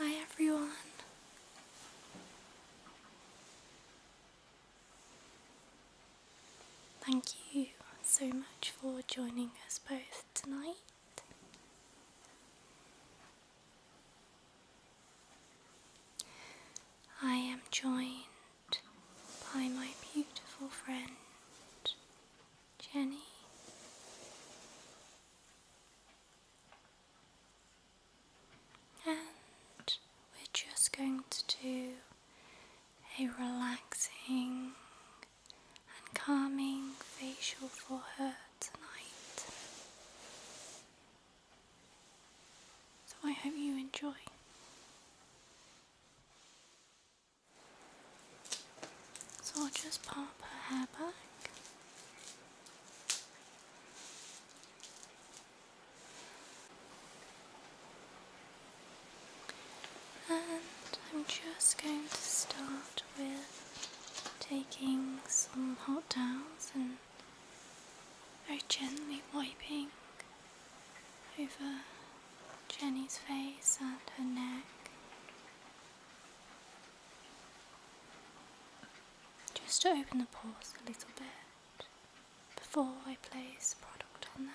Hi, everyone. Thank you so much for joining us both tonight. I am joined by my beautiful friend Jenny. And we're just going to do a relaxing and calming facial for her tonight. So I hope you enjoy. So I'll just pop her hair back. And I'm just going to start with taking some hot towels and very gently wiping over Jenny's face and her neck. Just to open the pores a little bit before I place product on them.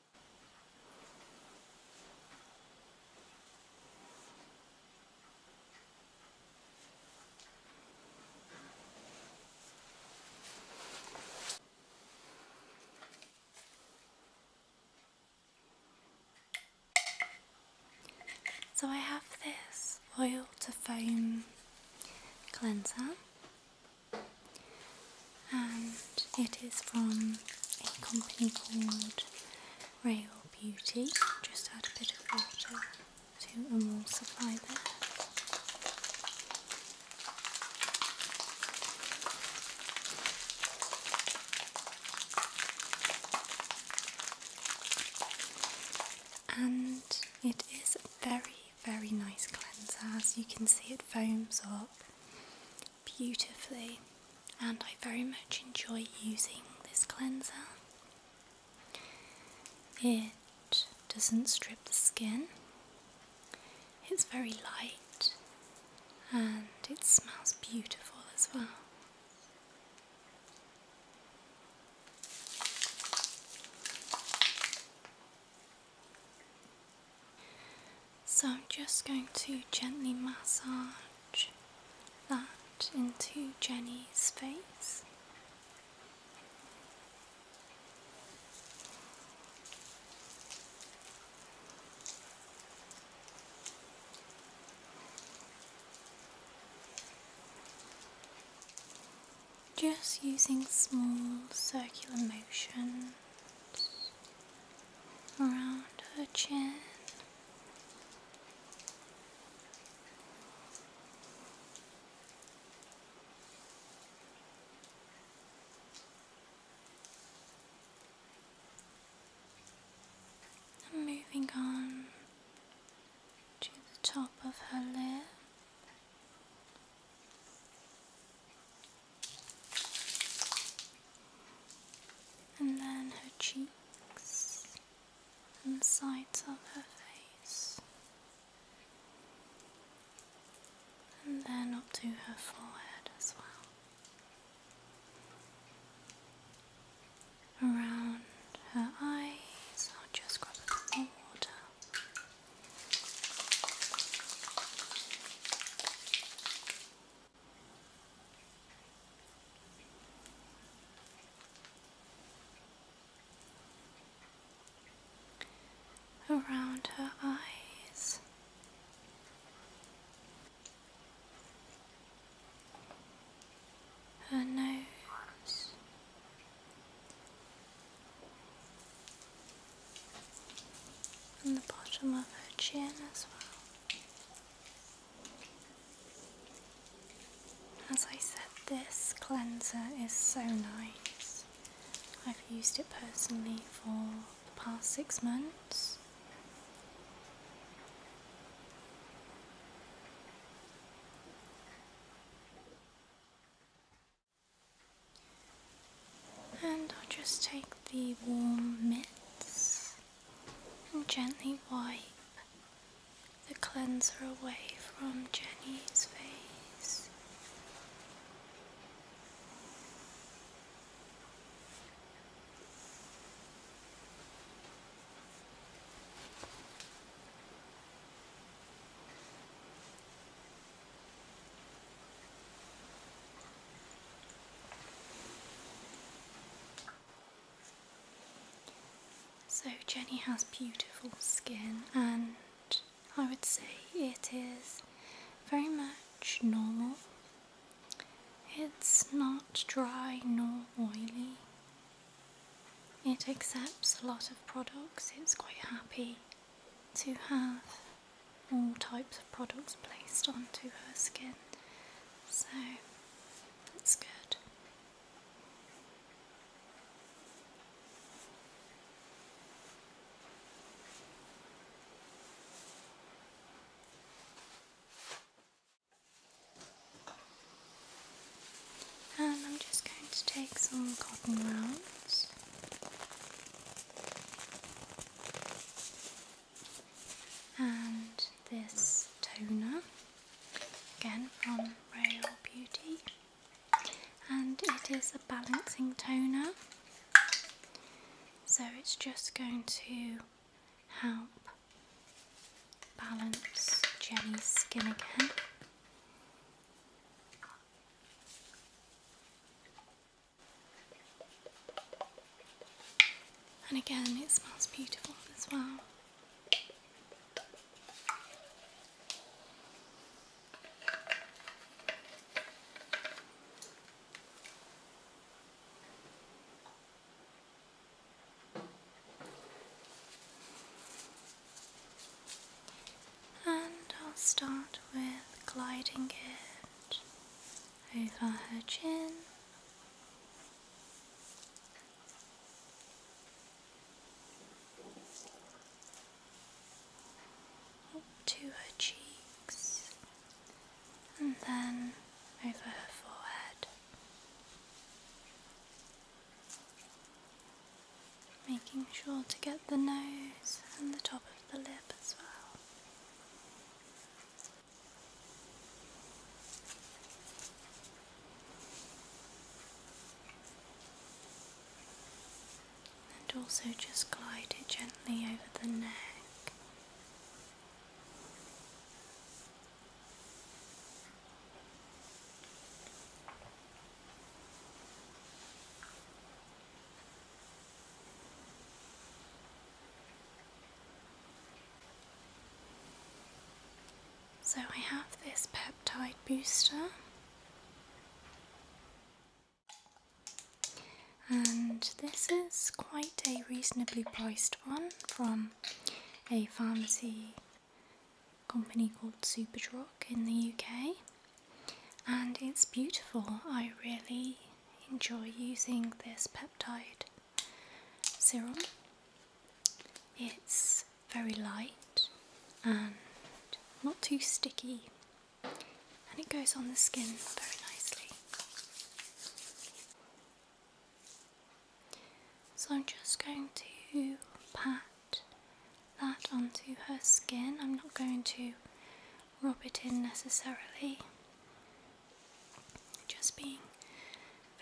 So I have this oil to foam cleanser and it is from a company called Rail Beauty. Just add a bit of water to emulsify that. And it is a very, very nice cleanser. As you can see, it foams up beautifully and I very much enjoy using this cleanser. It doesn't strip the skin, it's very light and it smells beautiful as well. So I'm just going to gently massage that into Jenny's face. Just using small circular motions around her chin. moving on to the top of her lip and then her cheeks and sides of her face, and then up to her forehead as well. Around her eyes, I'll just grab a bit water around her eyes. Her nose, and the bottom of her chin as well. As I said, this cleanser is so nice. I've used it personally for the past six months. And I'll just take the warm mitts and gently wipe the cleanser away from Jenny's face. So, Jenny has beautiful skin, and I would say it is very much normal. It's not dry nor oily. It accepts a lot of products, it's quite happy to have all types of products placed onto her skin, so that's good. And I'm just going to take some cotton rounds and this toner again from Royal Beauty and it is a balancing toner so it's just going to help balance Jenny's skin again and again, it smells beautiful as well. And I'll start with gliding it over her chin. Up to her cheeks and then over her forehead, making sure to get the nose and the top of the lip as well. And also just glide it gently over the neck. So I have this peptide booster and this is quite a reasonably priced one from a pharmacy company called Superdrug in the UK and it's beautiful. I really enjoy using this peptide serum. It's very light and not too sticky, and it goes on the skin very nicely. So I'm just going to pat that onto her skin. I'm not going to rub it in necessarily. Just being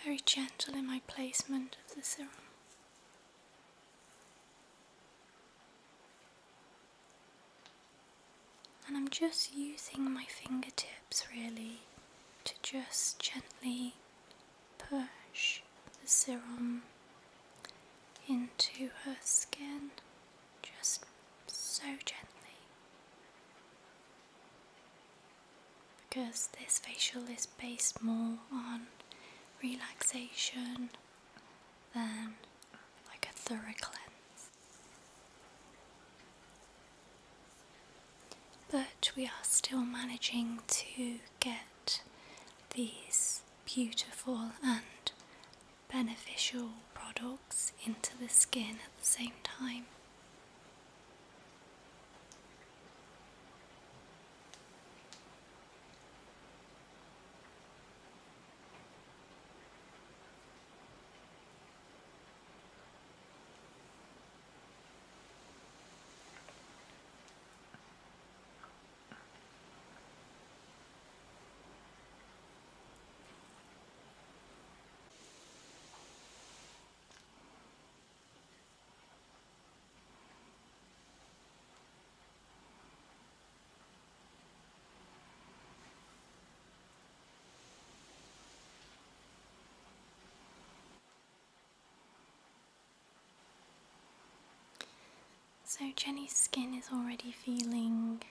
very gentle in my placement of the serum. And I'm just using my fingertips really to just gently push the serum into her skin just so gently because this facial is based more on relaxation than like a thorough cleanse. But we are still managing to get these beautiful and beneficial products into the skin at the same time. So Jenny's skin is already feeling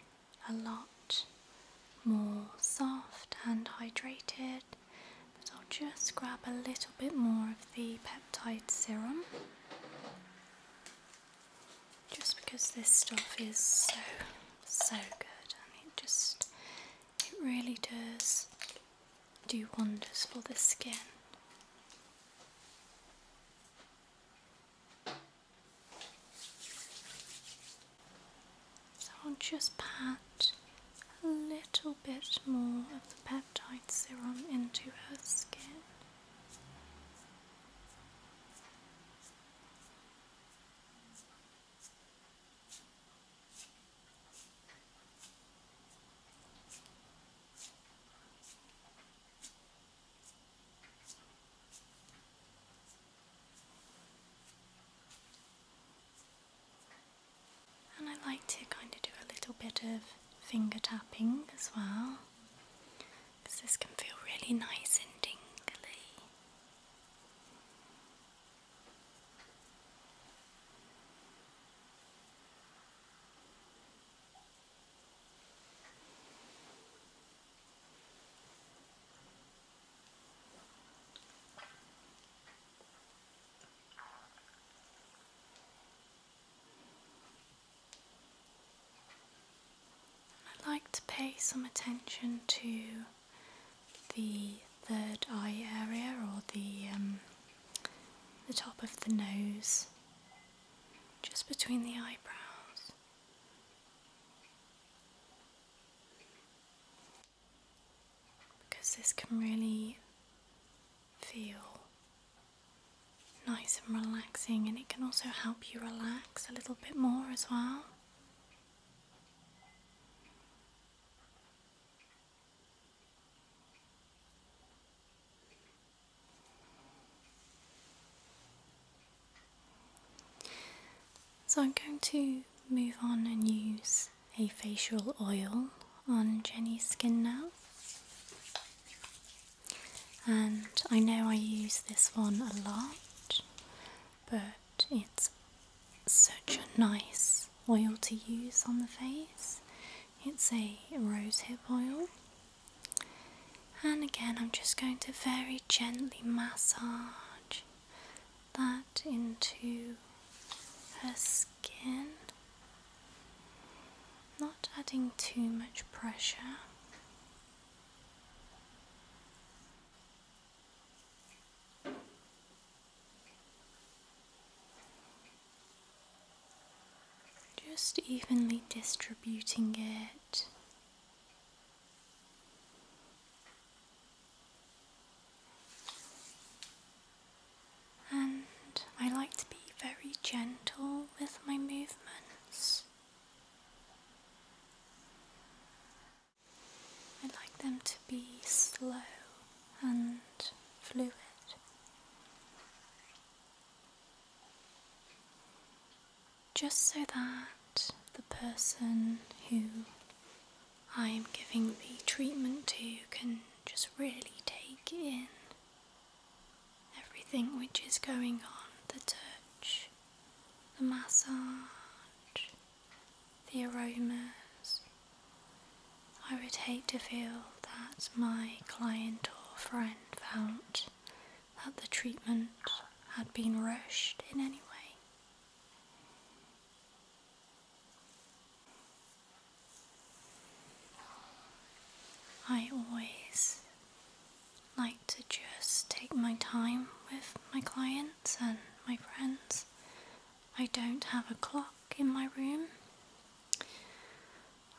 a lot more soft and hydrated. But I'll just grab a little bit more of the peptide serum just because this stuff is so so good and it just it really does do wonders for the skin. So I'll just pat a little bit more of the peptide serum into her skin. And I like to kind of do a little bit of finger tapping as well because this can feel really nice and dingly. I would like to pay some attention to the third eye area or the um, the top of the nose, just between the eyebrows because this can really feel nice and relaxing, and it can also help you relax a little bit more as well. So I'm going to move on and use a facial oil on Jenny's skin now. And I know I use this one a lot, but it's such a nice oil to use on the face. It's a rosehip oil. And again, I'm just going to very gently massage that into her skin, not adding too much pressure. Just evenly distributing it and I like to be very gentle with my movements. I like them to be slow and fluid just so that the person who I am giving the treatment to can just really take in everything which is going on the touch, the massage, the aromas. I would hate to feel that my client or friend felt that the treatment had been rushed in any way. I always like to just take my time with my clients and my friends. I don't have a clock in my room.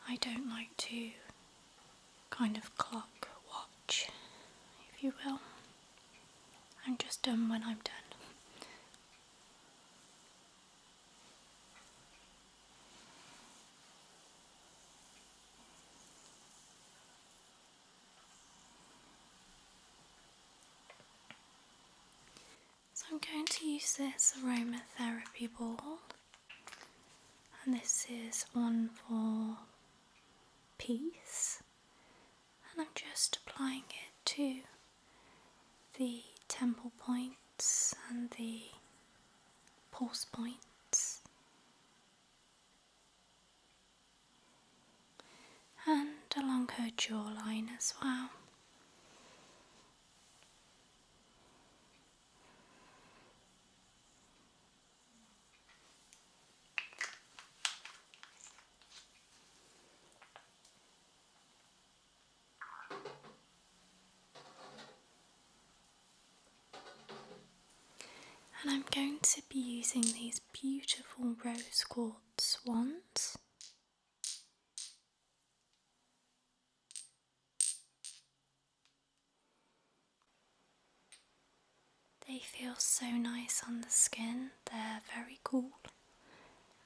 I don't like to kind of clock watch, if you will. I'm just done when I'm done. So I'm going to use this aromatherapy ball and this is on for piece and I'm just applying it to the temple points and the pulse points and along her jawline as well. And I'm going to be using these beautiful rose quartz wands. They feel so nice on the skin, they're very cool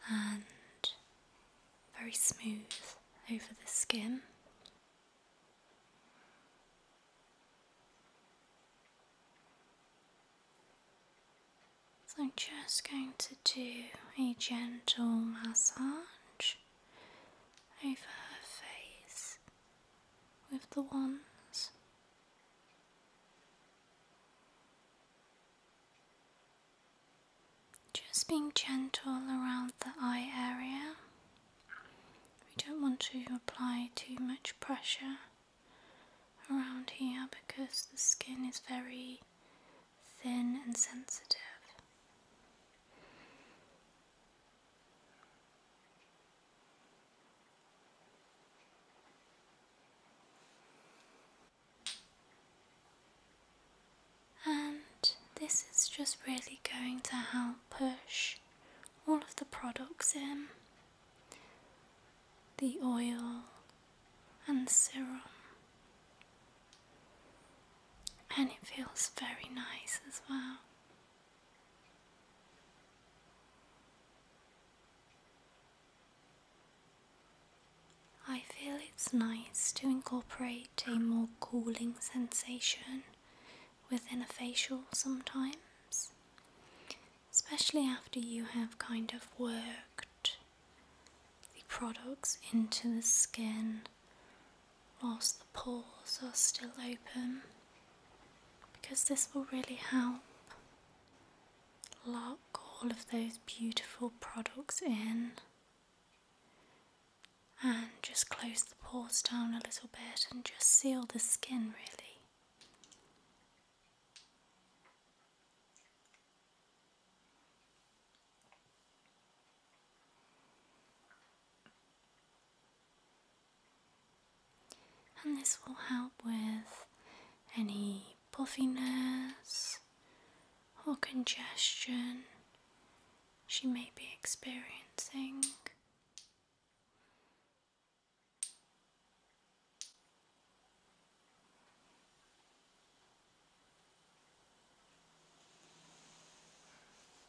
and very smooth over the skin. So I'm just going to do a gentle massage over her face with the ones. Just being gentle around the eye area. We don't want to apply too much pressure around here because the skin is very thin and sensitive. And this is just really going to help push all of the products in the oil and serum. And it feels very nice as well. I feel it's nice to incorporate a more cooling sensation within a facial sometimes, especially after you have kind of worked the products into the skin whilst the pores are still open because this will really help lock all of those beautiful products in and just close the pores down a little bit and just seal the skin really. And this will help with any puffiness or congestion she may be experiencing.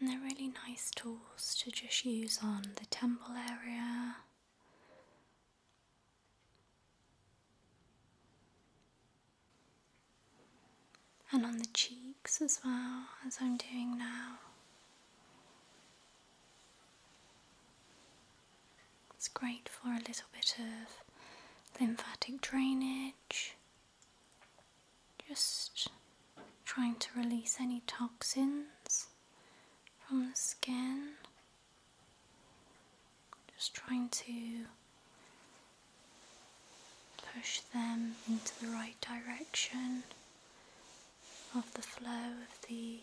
And they're really nice tools to just use on the temple area and on the cheeks as well as I'm doing now. It's great for a little bit of lymphatic drainage, just trying to release any toxins from the skin, just trying to push them into the right direction of the flow of the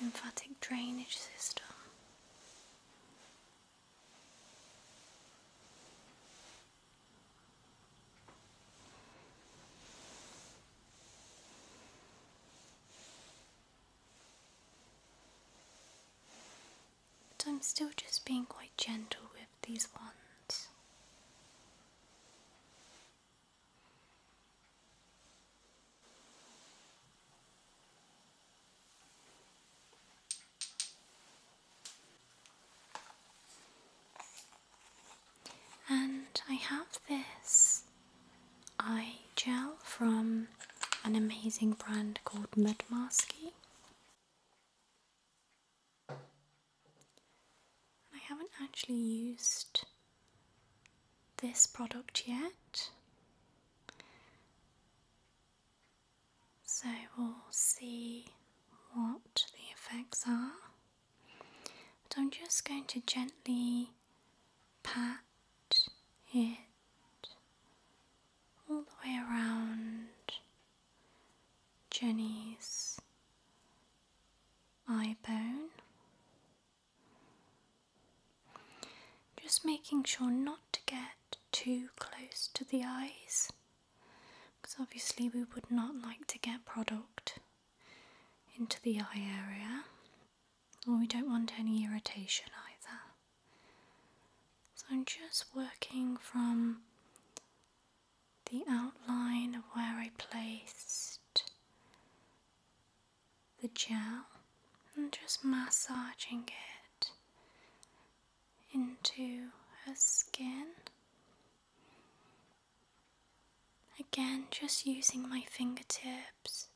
lymphatic drainage system but I'm still just being quite gentle with these ones, And I have this eye gel from an amazing brand called Mud Masky. I haven't actually used this product yet. So we'll see what the effects are. But I'm just going to gently pat it all the way around Jenny's eye bone. Just making sure not to get too close to the eyes because obviously we would not like to get product into the eye area or we don't want any irritation either. So I'm just working from the outline of where I placed the gel and just massaging it into her skin. Again, just using my fingertips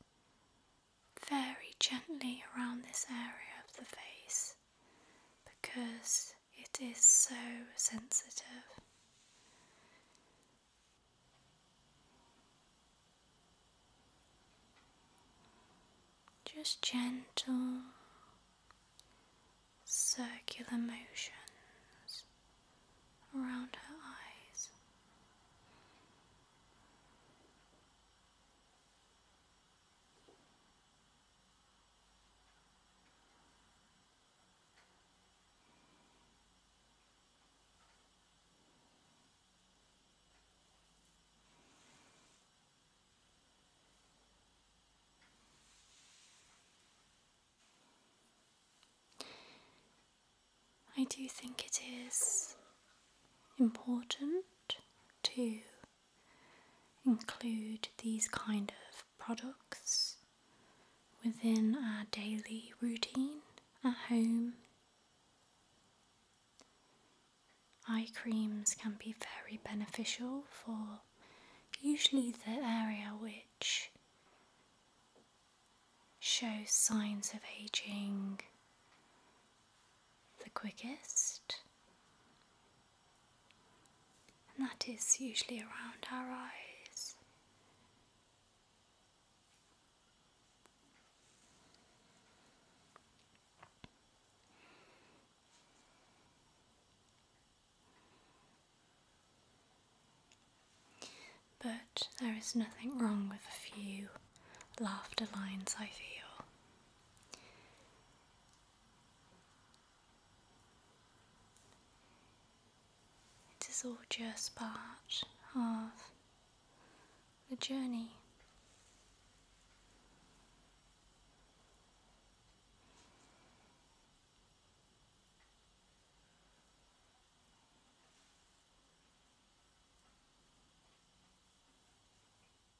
very gently around this area of the face because it is so sensitive. Just gentle circular motions around her eyes. I do think it is important to include these kind of products within our daily routine at home. Eye creams can be very beneficial for usually the area which shows signs of aging the quickest and that is usually around our eyes. But there is nothing wrong with a few laughter lines, I feel. It is all just part of the journey.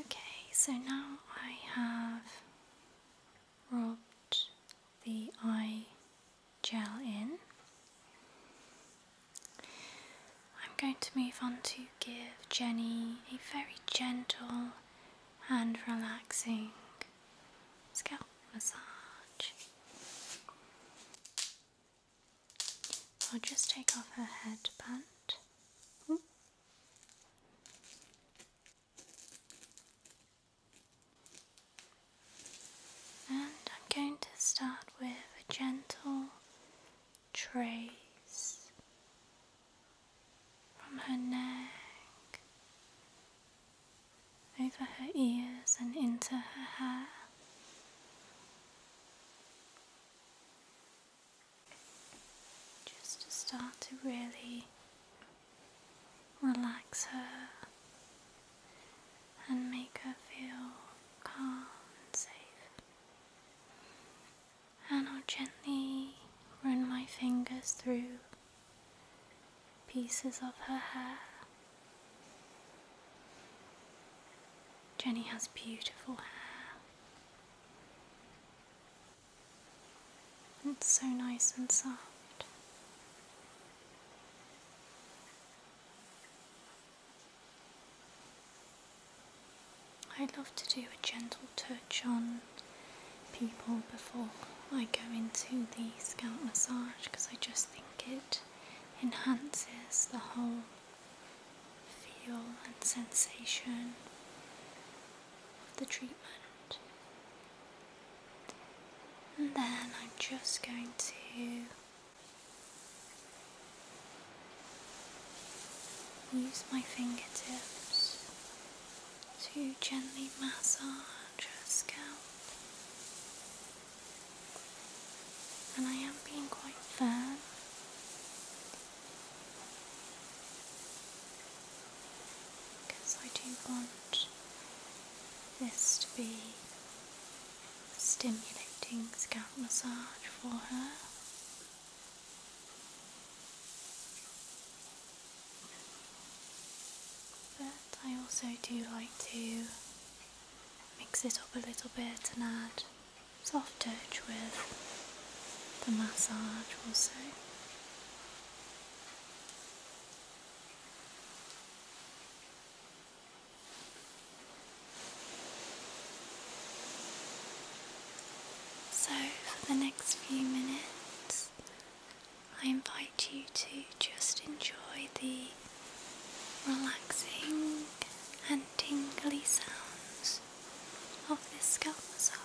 Okay, so now I have rubbed the eye gel in. I'm going to move on to give Jenny a very gentle and relaxing scalp massage. I'll just take off her headband. Mm. And I'm going to start with a gentle trace from her neck over her ears and into her hair. Just to start to really relax her and make her feel calm and safe. And I'll gently run my fingers through pieces of her hair. Jenny has beautiful hair. It's so nice and soft. I love to do a gentle touch on people before I go into the scalp massage because I just think it enhances the whole feel and sensation of the treatment. And then I'm just going to Use my fingertips to gently massage her scalp. And I am being quite firm. Because I do want this to be stimulating scalp massage for her. But I also do like to mix it up a little bit and add soft touch with the massage also. So, for the next few minutes, I invite you to just enjoy the relaxing and tingly sounds of this scalp massage.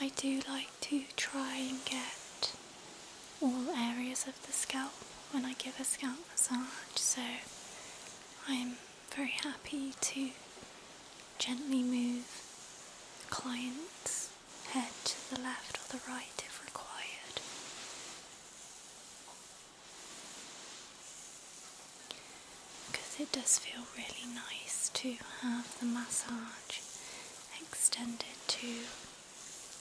I do like to try and get all areas of the scalp when I give a scalp massage, so I'm very happy to gently move the client's head to the left or the right if required. Because it does feel really nice to have the massage extended to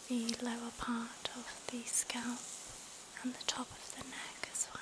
the lower part of the scalp and the top of the neck as well.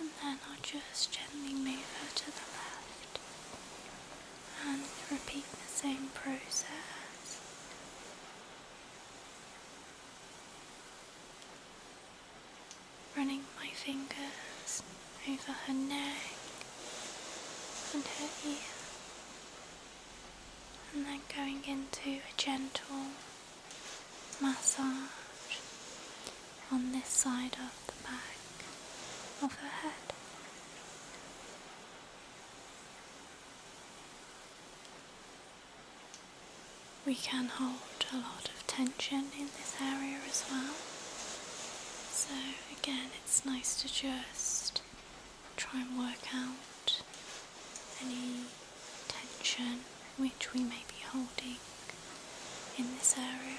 And then I'll just gently move her to the left and repeat the same process. Running my fingers over her neck and her ear, and then going into a gentle massage on this side of the back of her head. We can hold a lot of tension in this area as well, so again, it's nice to just try and work out any tension which we may be holding in this area.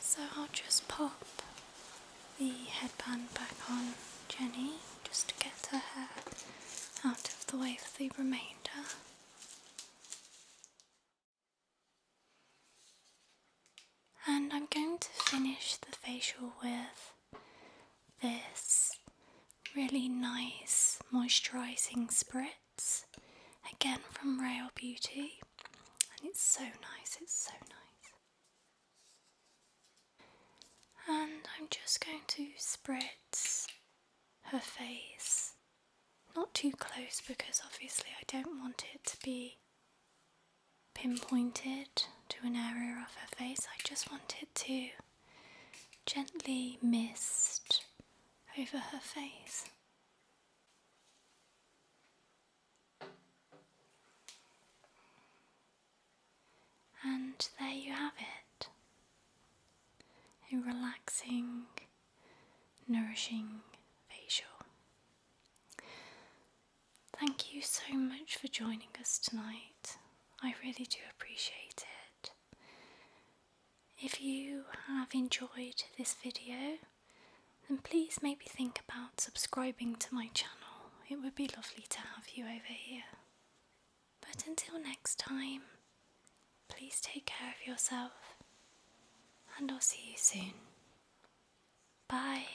So I'll just pop the headband back on Jenny just to get her hair out of the way for the remainder. And I'm going to finish the facial with this really nice moisturising spritz, again from Rail Beauty and it's so nice, it's so nice. And I'm just going to spritz her face, not too close because obviously I don't want it to be pinpointed to an area of her face. I just want it to gently mist over her face. And there you have it a relaxing, nourishing facial. Thank you so much for joining us tonight. I really do appreciate it. If you have enjoyed this video, then please maybe think about subscribing to my channel. It would be lovely to have you over here. But until next time, please take care of yourself, and I'll see you soon. Bye.